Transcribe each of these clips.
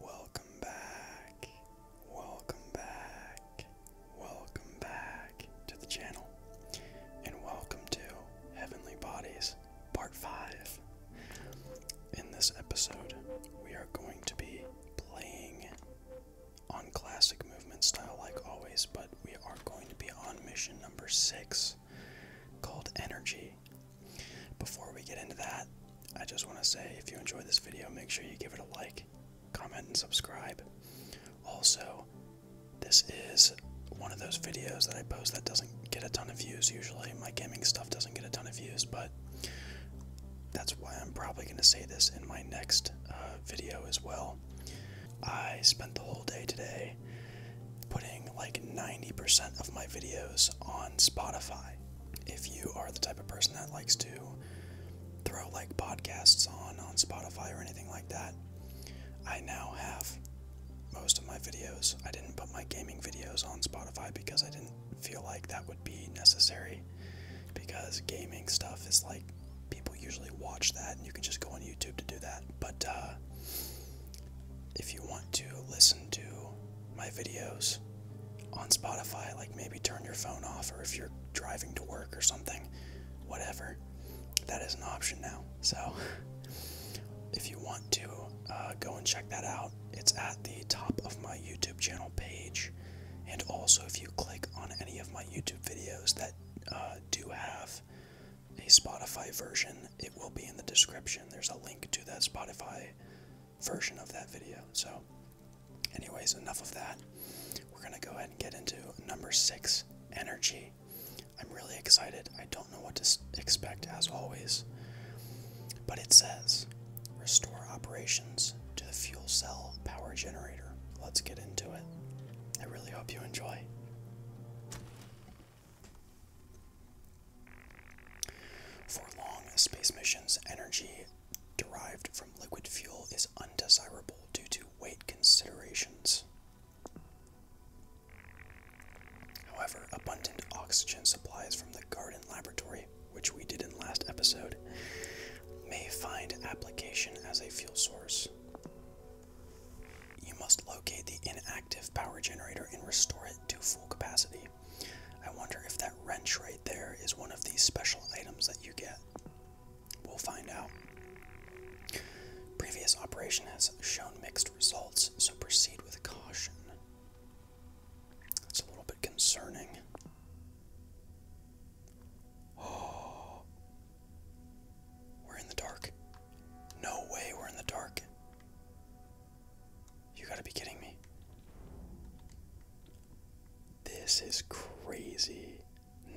Welcome back, welcome back, welcome back to the channel, and welcome to Heavenly Bodies Part 5. In this episode, we are going to be playing on classic movement style, like always, but we are going to be on mission number 6 called Energy before we get into that, I just want to say if you enjoyed this video, make sure you give it a like, comment, and subscribe. Also, this is one of those videos that I post that doesn't get a ton of views usually. My gaming stuff doesn't get a ton of views, but that's why I'm probably going to say this in my next uh, video as well. I spent the whole day today putting like 90% of my videos on Spotify. If you are the type of person that likes to throw like podcasts on on Spotify or anything like that, I now have most of my videos. I didn't put my gaming videos on Spotify because I didn't feel like that would be necessary because gaming stuff is like people usually watch that and you can just go on YouTube to do that. But uh, if you want to listen to my videos on Spotify. Like maybe turn your phone off, or if you're driving to work or something, whatever. That is an option now. So if you want to uh, go and check that out, it's at the top of my YouTube channel page. And also, if you click on any of my YouTube videos that uh, do have a Spotify version, it will be in the description. There's a link to that Spotify version of that video. So, anyways, enough of that. We're going to go ahead and get into number six energy. I'm really excited. I don't know what to expect, as always. But it says restore operations to the fuel cell power generator. Let's get into it. I really hope you enjoy. For long space missions, energy derived from liquid fuel is undesirable due to weight considerations. However, abundant oxygen supplies from the garden laboratory, which we did in last episode, may find application as a fuel source. You must locate the inactive power generator and restore it to full capacity. I wonder if that wrench right there is one of these special items that you get. We'll find out. Previous operation has shown mixed results, so proceed with caution. That's a little bit concerning. Oh. We're in the dark. No way, we're in the dark. You gotta be kidding me. This is crazy.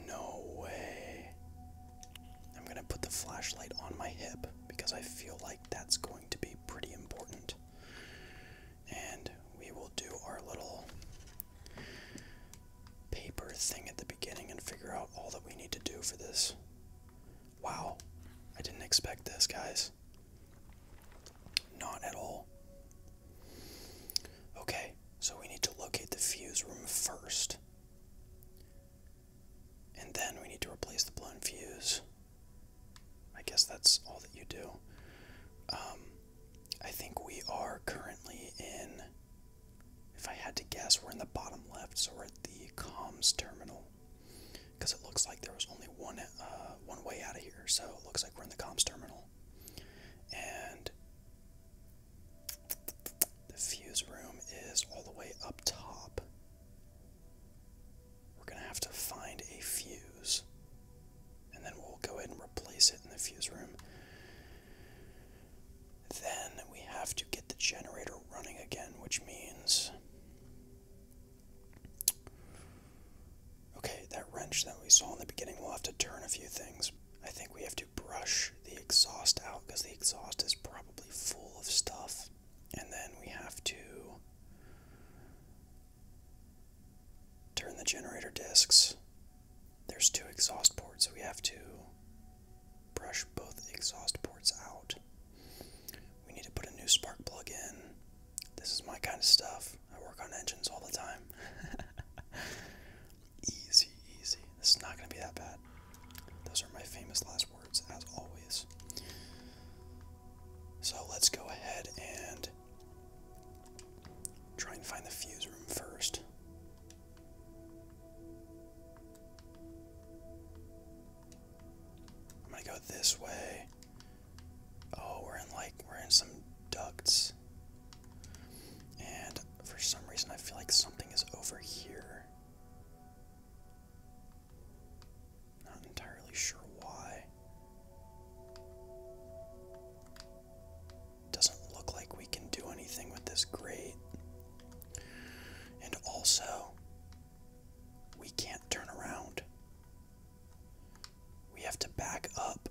No way. I'm gonna put the flashlight on my hip because I feel like that's going to be pretty important. And we will do our little paper thing at the beginning and figure out all that we need to do for this. Wow. I didn't expect this, guys. Not at all. Okay, so we need to locate the fuse room first. And then we need to replace the blown fuse. I guess that's all that you do. Um, I think we are currently in, if I had to guess, we're in the bottom left, so we're at the comms terminal because it looks like there was only one uh, one way out of here. So it looks like we're in the comms terminal, and the fuse room is all the way up top. We're gonna have to find a fuse, and then we'll go ahead and replace it in the fuse room. Then we have to get the generator running again, which means Okay, that wrench that we saw in the beginning, we'll have to turn a few things. I think we have to brush the exhaust out because the exhaust is probably full of stuff. And then we have to turn the generator discs. There's two exhaust ports, so we have to brush both exhaust ports out. We need to put a new spark plug in. This is my kind of stuff. I work on engines all the time. easy, easy. This is not going to be that bad. Those are my famous last words, as always. So let's go ahead and try and find the fuse room first. I'm gonna go this way. Oh, we're in like, we're in some ducts. And for some reason, I feel like something is over here. Not entirely sure why. Doesn't look like we can do anything with this grate. And also, we can't turn around. We have to back up,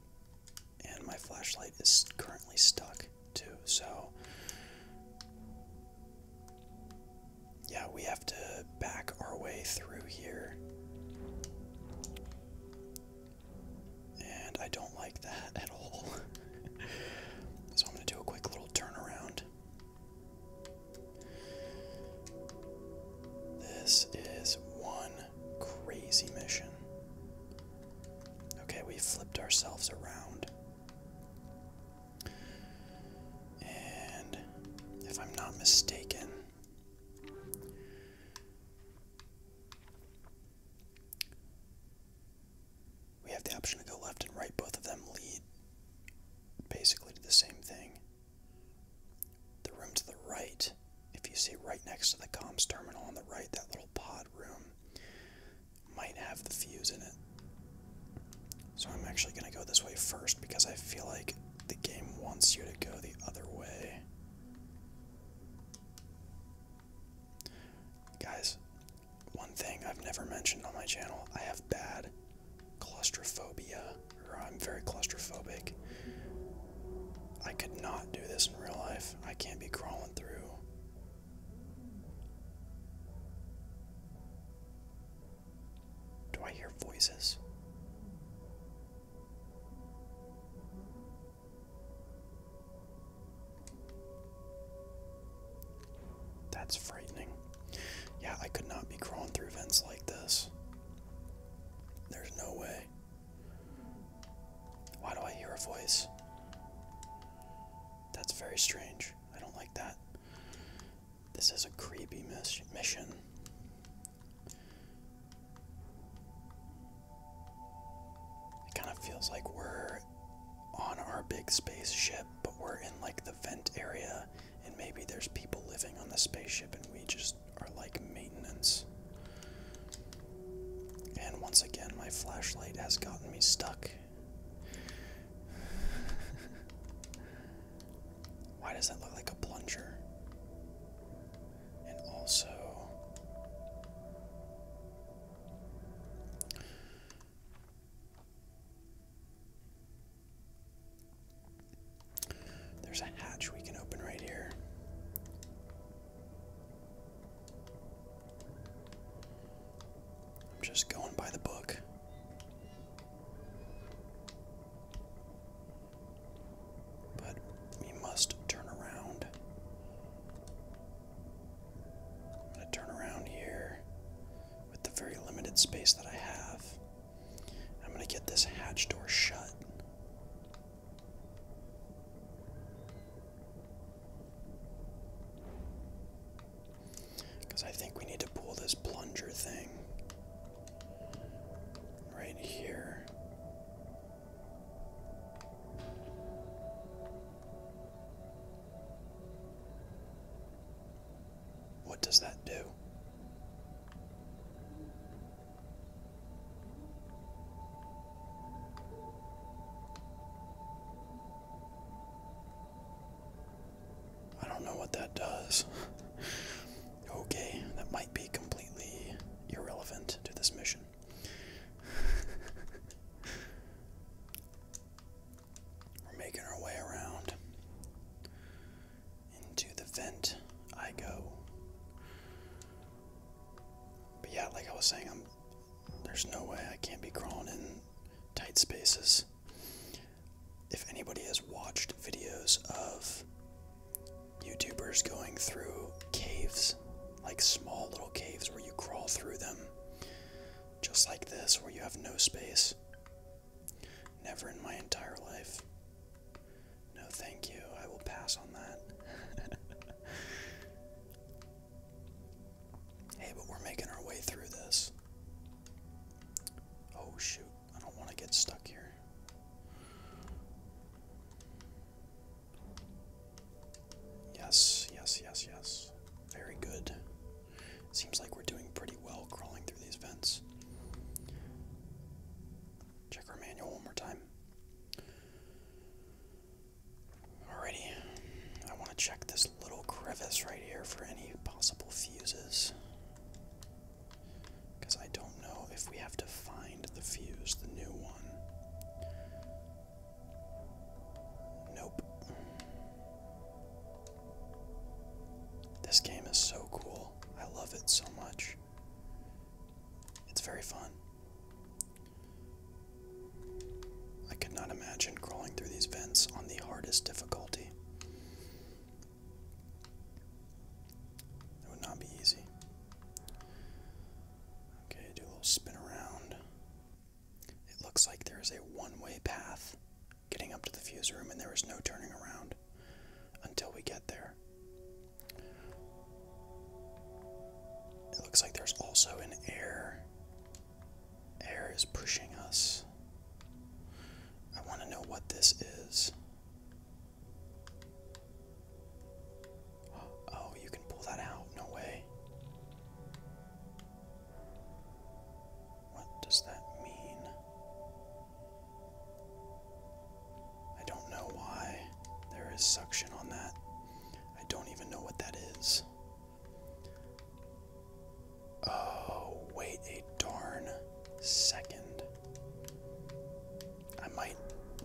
and my flashlight is currently stuck too, so yeah, we have to back our way through here. And I don't like that at all. so I'm going to do a quick little turnaround this is one crazy mission. Okay, we flipped ourselves around. And if I'm not mistaken, we have the option to go left and right. Both of them lead basically to the same thing. The room to the right, if you see right next to the comms terminal on the right, that little pod room might have the fuse in it. So I'm actually going to go this way first because I feel like the game wants you to go the other way. Guys, one thing I've never mentioned on my channel, I have bad claustrophobia, or I'm very claustrophobic. I could not do this in real life. I can't be crawling through. Do I hear voices? That's frightening. Yeah, I could not be crawling through vents like this. There's no way. Why do I hear a voice? That's very strange. I don't like that. This is a creepy mission. It kind of feels like we're on our big spaceship, but we're in like the vent area, and maybe there's people living on the spaceship, and we just are like maintenance. And once again, my flashlight has gotten me stuck. Why does that look like a plunger? And also. There's a hatch we can open right here. I'm just going by the book. But we must turn around. I'm going to turn around here with the very limited space that I have. I'm going to get this hatch door shut. Because I think we need to pull this plunger thing right here. What does that do? I don't know what that does. okay, that might be completely irrelevant to this mission. We're making our way around. Into the vent I go. But yeah, like I was saying, I'm there's no way I can't be crawling in tight spaces. If anybody has watched videos of YouTubers going through caves, like small little caves where you crawl through them, just like this, where you have no space. Never in my entire life. No, thank you. I will pass on that. hey, but we're making our way through this. Oh, shoot. I don't want to get stuck here. Yes, yes, yes, yes. Very good. Seems like we're doing pretty well crawling through these vents. Check our manual one more time. Alrighty, I want to check this little crevice right here for any possible fuses. Because I don't know if we have to find the fuse, the new one. Nope. This game is so cool. I love it so much. It's very fun. I could not imagine crawling through these vents on the hardest difficulty. It would not be easy. Okay, do a little spin around. It looks like there is a one way path getting up to the fuse room, and there is no turning around until we get there. It looks like there's also an air. Air is pushing us. I want to know what this is. Oh, you can pull that out. No way. What does that mean? I don't know why there is suction on that. I don't even know what that is. Oh, wait a darn second. I might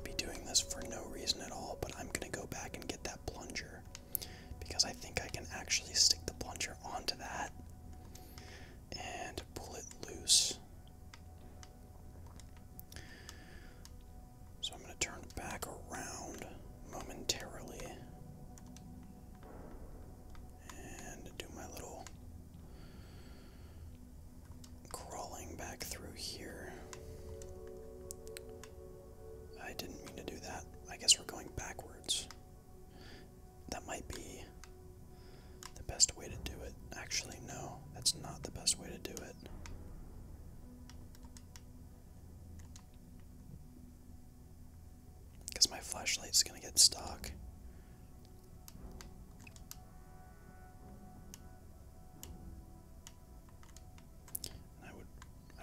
be doing this for no reason at all, but I'm gonna go back and get that plunger because I think I can actually stick the plunger onto that and pull it loose. So I'm going to turn back around momentarily and do my little crawling back through here. I didn't mean to do that. I guess we're going backwards. That might be the best way to do it. Actually, no, that's not the best way to do it. Because my flashlight's gonna get stuck. I would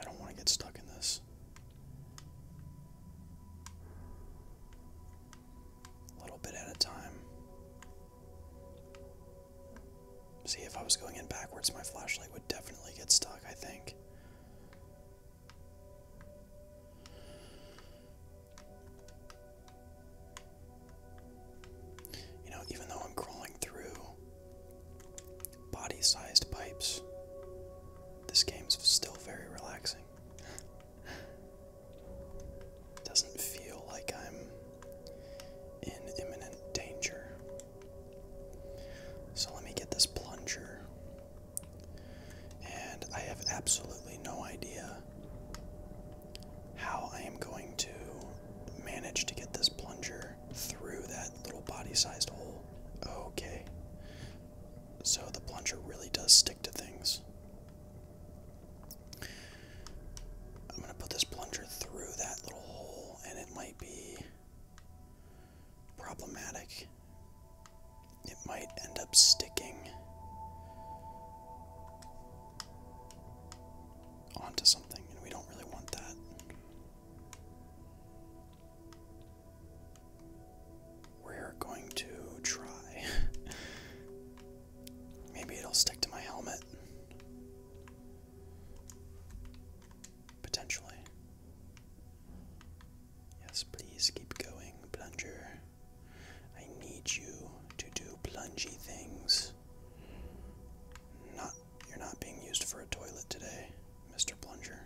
I don't want to get stuck in this. A little bit at a time. See, if I was going in backwards, my flashlight would definitely get stuck, I think. You know, even though I'm crawling through body sized pipes. This game's still very relaxing. Doesn't feel like I'm in imminent danger. So let me get this plunger. And I have absolutely no idea how I am going to manage to get this plunger through that little body-sized hole. Okay. So the plunger really does stick to things. I'm going to put this plunger through that little hole, and it might be problematic. It might end up sticking onto something, and we don't really want that. We're going to try. Maybe it'll stick to my helmet. Potentially. Yes, please keep going, plunger. I need you to do plungy things. Not you're not being used for a toilet today, Mr. Plunger.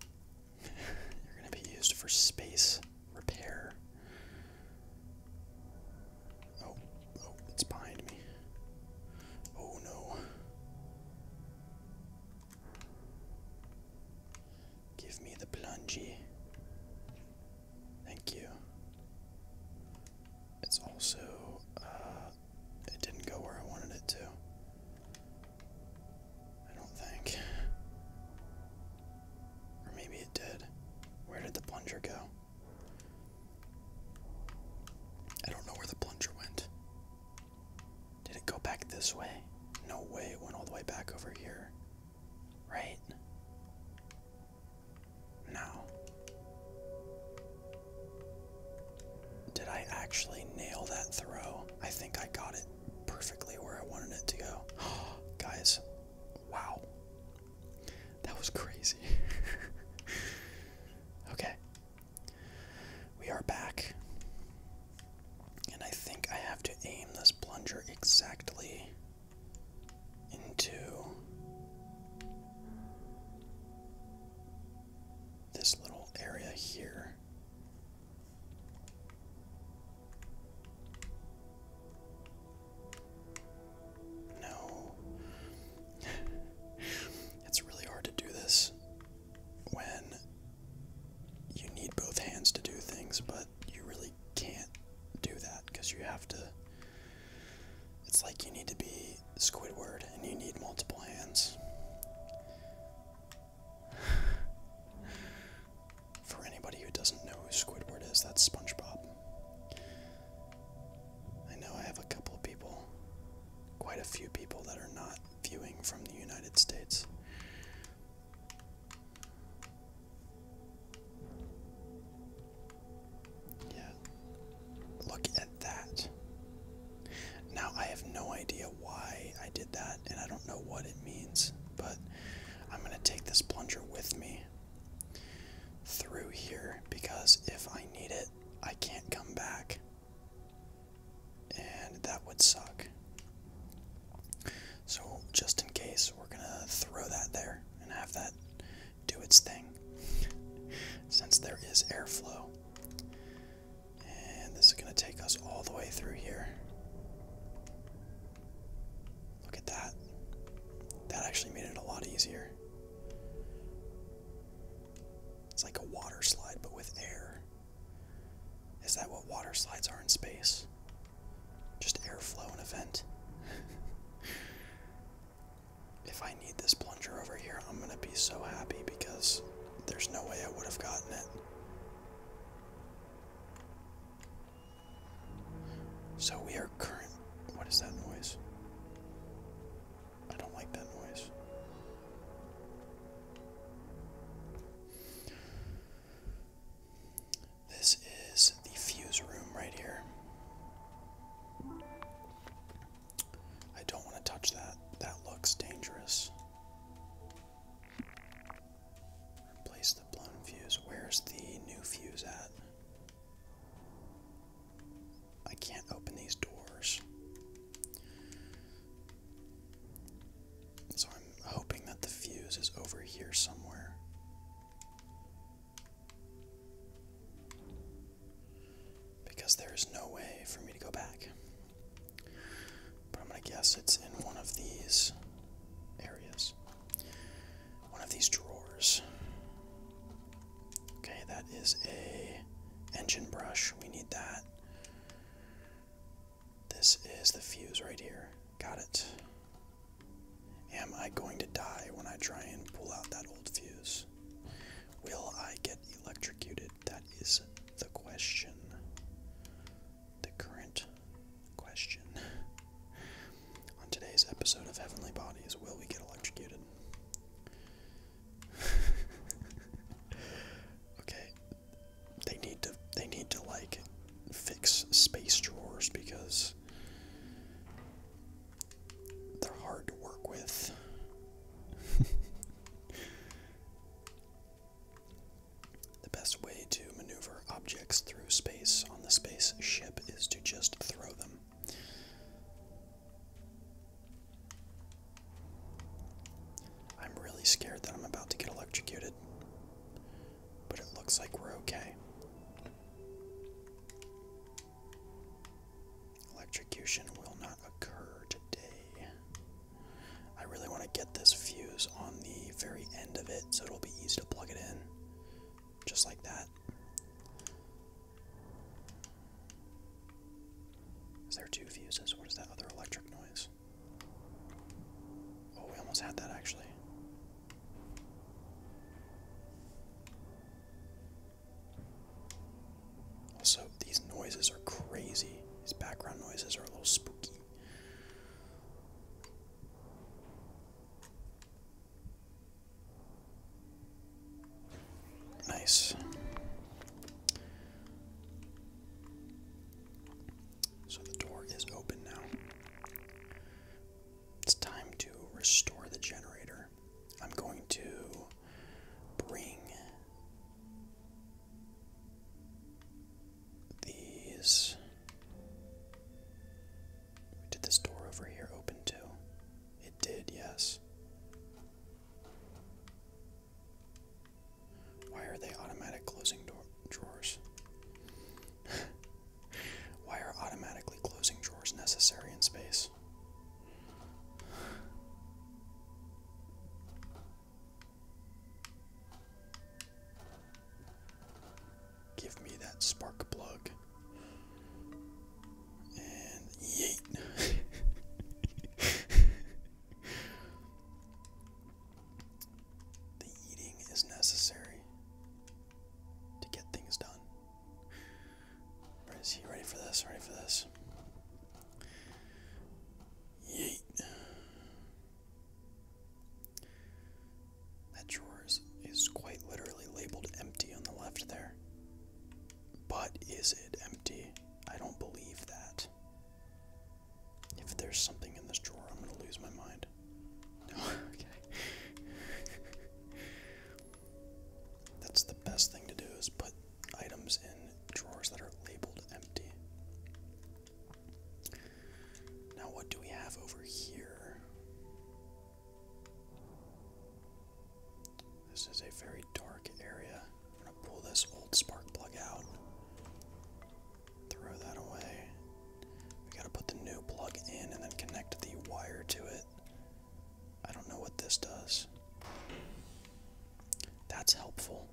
You're going to be used for space repair. Oh, oh, it's behind me. Oh no. Give me the plungy. Thank you. It's also uh, it didn't go where I wanted it to. I don't think. Or maybe it did. Where did the plunger go? I don't know where the plunger went. Did it go back this way? No way, it went all the way back over here. Right? No. Did I actually nail that throw? I think I got it perfectly where I wanted it to go. Guys, wow. That was crazy. okay. We are back. And I think I have to aim this plunger exactly into this little area here. No. it's really hard to do this when you need both hands to do things, but you really can't do that because you have to. It's like you need to be Squidward and you need multiple hands. For anybody who doesn't know who Squidward is, that's SpongeBob. I know I have a couple of people, quite a few people that are not viewing from the United States. Yeah. Look at that. Now I have no idea why I did that and I don't know what it means, but I'm going to take this plunger with me through here because if I need it, I can't come back. And that would suck. So, just in case, we're going to throw that there and have that do its thing since there is airflow. And this is going to take us all the way through here. Look at that. That actually made it a lot easier. It's like a water slide, but with air. Is that what water slides are in space? Just airflow and a vent. If I need this plunger over here, I'm going to be so happy because there's no way I would have gotten it. So we are current. What is that noise? I don't like that noise. This is the fuse room right here. I don't want to touch that. That looks dangerous. Replace the blown fuse. Where's the new fuse at? I can't open these doors. So I'm hoping that the fuse is over here somewhere. Because there is no way for me to go back. But I'm going to guess it's in one of these areas, one of these drawers. Okay, that is a engine brush. We need that. This is the fuse right here. Got it. Am I going to die when I try and pull out that old fuse? Will I get electrocuted? That is the question. The current question. On today's episode of Heavenly Bodies, will we get electrocuted? okay. They need to they need to like fix space drawers because they're hard to work with. the best way to maneuver objects through space on the spaceship is to just throw them. I'm really scared that I'm about to get electrocuted, but it looks like we're okay. Electrocution will not occur today. I really want to get this fuse on the very end of it so it'll be easy to plug it in. Just like that. Is there two fuses? What is that other electric noise? Oh, we almost had that actually. Also, these noises are crazy. These background noises are a little spooky. Nice. So the door is open now. It's time to restore the generator. I'm going to bring these. Did this door over here open too? It did, yes. Why are they automatic closing drawers? Why are automatically closing drawers necessary in space? Give me that spark plug. And yeet. the eating is necessary to get things done. Is he? Ready for this? Ready for this? Yeet. That drawer is, quite literally labeled empty on the left there. But is it empty? I don't believe that. If there's something in this drawer, I'm gonna lose my mind. okay. That's the best thing to do is put items in drawers that are labeled empty. Now what do we have over here? This is a very dark area. I'm gonna pull this old spark plug out. Throw that away. We gotta put the new plug in and then connect the wire to it. I don't know what this does. That's helpful.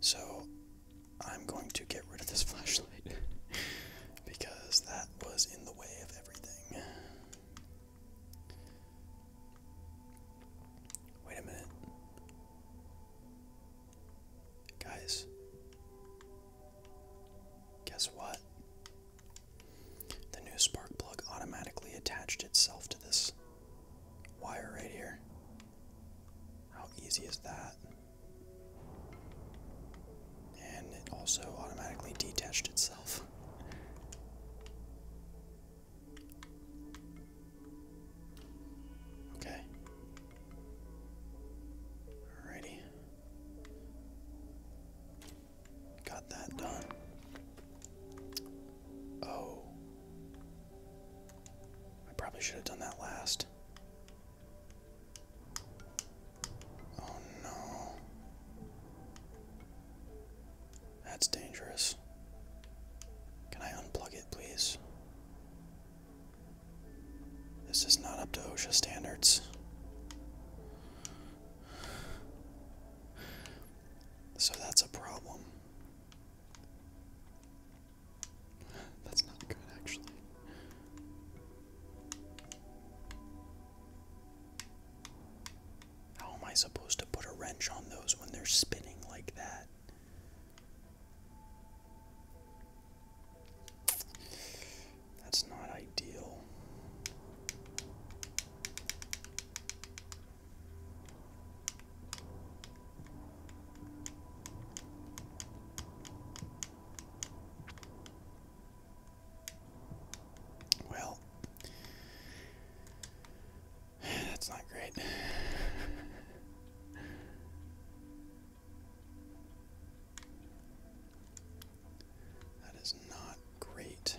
So I'm going to get rid of this flashlight because that was in the way of everything. Wait a minute. Guys, guess what? The new spark plug automatically attached itself to this wire right here. How easy is that? And it also automatically detached itself. Okay. Alrighty. Got that done. Oh. I probably should have done that last. Oh no. That's dangerous. Can I unplug it, please? This is not up to OSHA standards. So that's a problem. That's not good, actually. How am I supposed to put a wrench on those when they're spinning like that? That's not ideal. Well, that's not great. That is not great.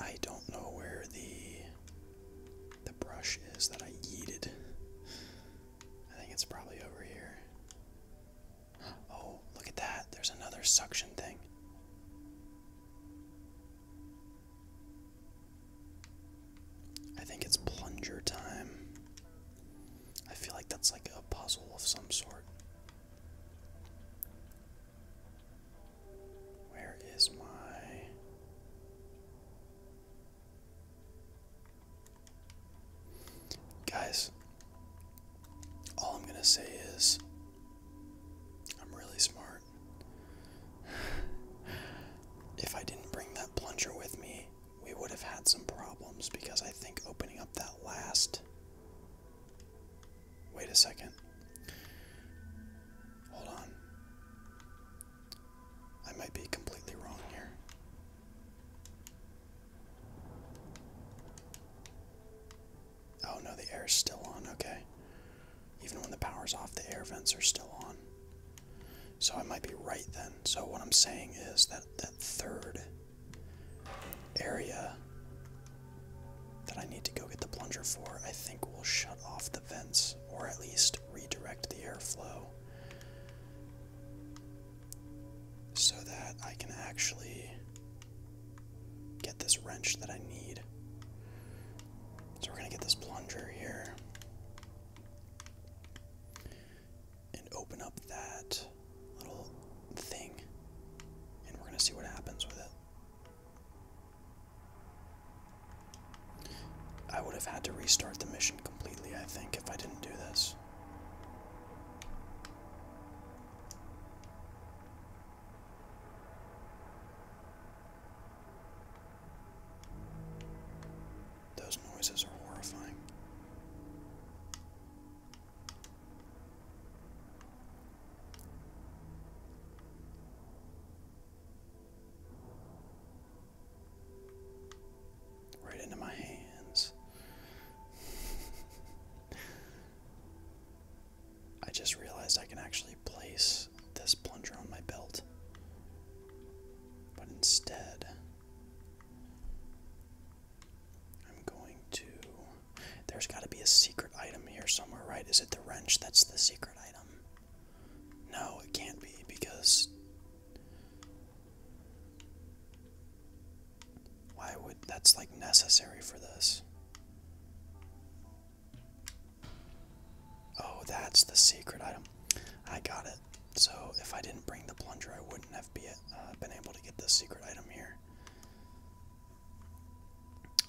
I don't know where the the brush is that I yeeted. I think it's probably over here. Oh, look at that. There's another suction thing. I think it's plunger time. I feel like that's like a puzzle of some sort. Where is my. Guys, all I'm going to say is I'm really smart. if I didn't bring that plunger with me, we would have had some problems because I think opening up that last. Wait a second. Hold on. I might be completely wrong here. Oh no, the air is still on, okay. Even when the power's off, the air vents are still on. So I might be right then. So what I'm saying is that that third area that I need to go get the plunger for, I think will shut off the vents, or at least redirect the airflow. So that I can actually get this wrench that I need. So we're going to get this plunger here and open up that little thing, and we're going to see what happens with it. I would have had to restart the mission completely, I think, if I didn't do this. Those noises are horrifying. Right into my hands. I just realized I can actually place this plunger on my belt. But instead, I'm going to. There's got to be a secret item here somewhere, right? Is it the wrench that's the secret item? No, it can't be because. Why would that's like necessary for this? Oh, that's the secret item. I got it. So if I didn't bring the plunger, I wouldn't have uh, been able to get this secret item here.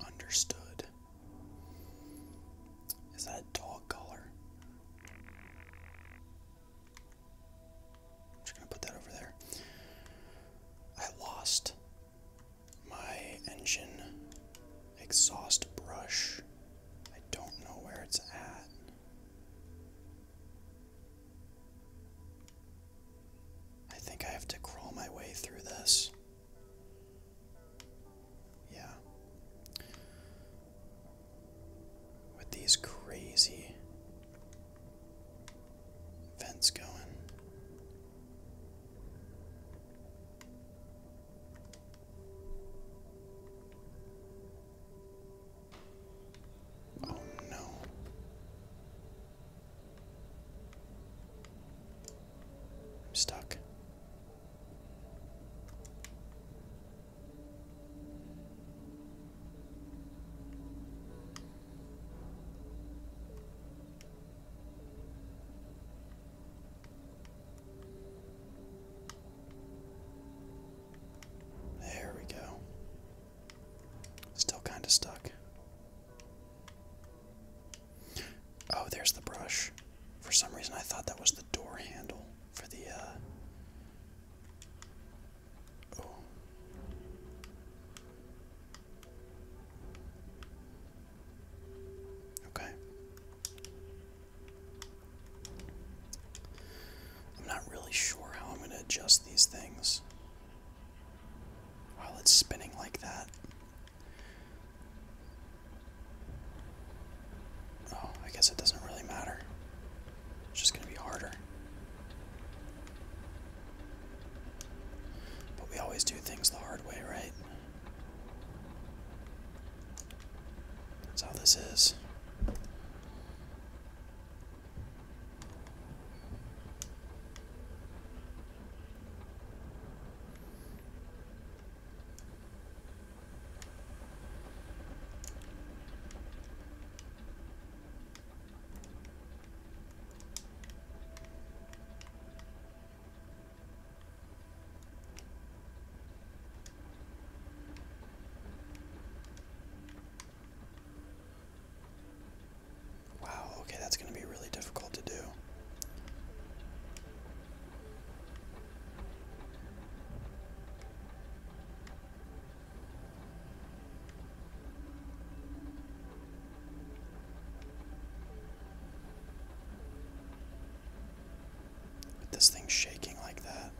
Understood. Is that dog collar? I'm just gonna put that over there. I lost my engine exhaust brush. I don't know where it's at. I think I have to crawl my way through this. Yeah. With these crazy Vents going. Oh no. I'm stuck. There we go. Still kind of stuck. Oh, there's the brush. For some reason, I thought that was the door handle for the uh, Oh. Okay. I'm not really sure how I'm going to adjust these things while it's spinning like that. Oh, I guess it doesn't really matter. It's just going to be harder. But we always do things the hard way, right? That's how this is. Wow, okay, that's going to be really difficult to do. With this thing shaking like that.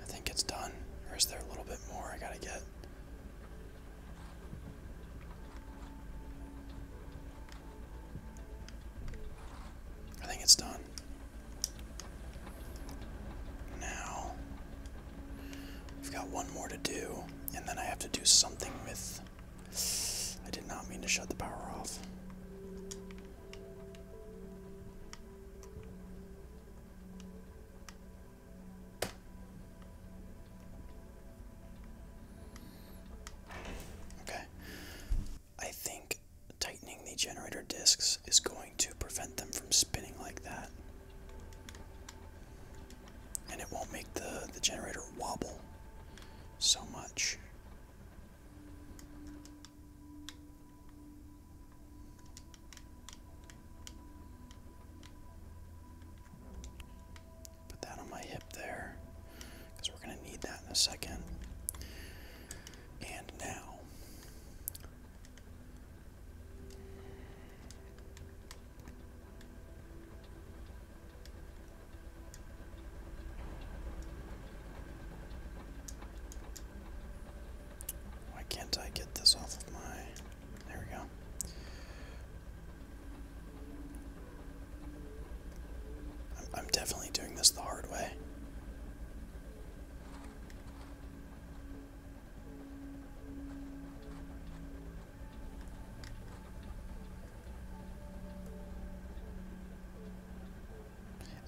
I think it's done. Or is there a little bit more I gotta get? I think it's done. Now, we've got one more to do, and then I have to do something with. I did not mean to shut the power off. Okay. I think tightening the generator discs is going to prevent them from spinning like that. And it won't make the, the generator wobble so much. Put that on my hip there we're going to need that in a second. And now. Why can't I get this off of my there we go. I'm, I'm definitely doing this the hard way.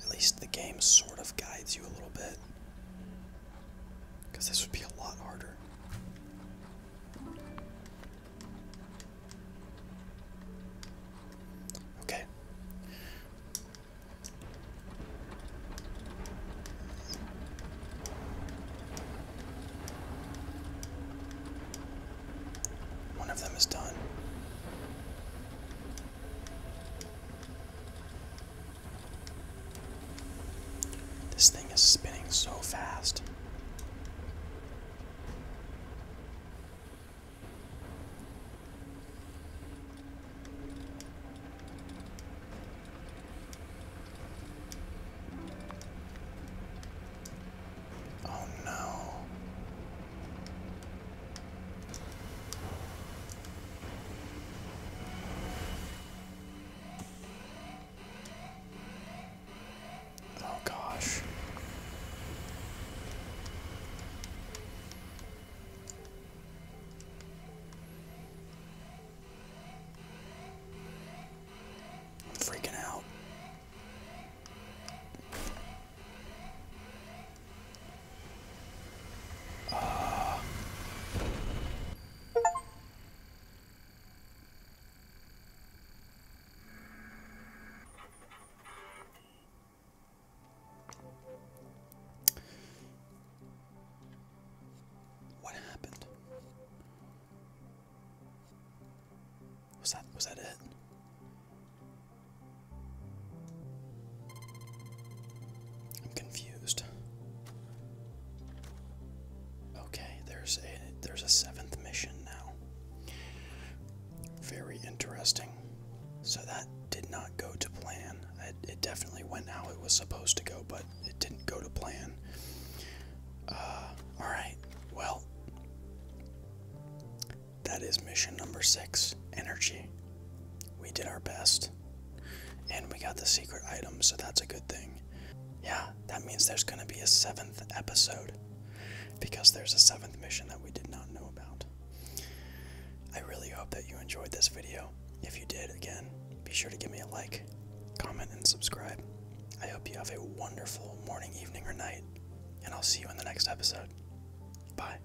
At least the game sort of guides you a little bit. Because this would be a lot harder. Okay. One of them is done. This thing is spinning so fast. Oh no. Oh gosh. I'm freaking out. Uh. What happened? Was that was that it? I'm confused. Okay, there's a there's a seventh mission now. Very interesting. So that did not go to plan. It, definitely went how it was supposed to go, but it didn't go to plan. Uh, all right. Well, that is mission number six. Energy. We did our best. And we got the secret item, so that's a good thing. Yeah, that means there's gonna be a seventh episode. Because there's a seventh mission that we did not know about. I really hope that you enjoyed this video. If you did, again, be sure to give me a like, comment, and subscribe. I hope you have a wonderful morning, evening, or night, and I'll see you in the next episode. Bye.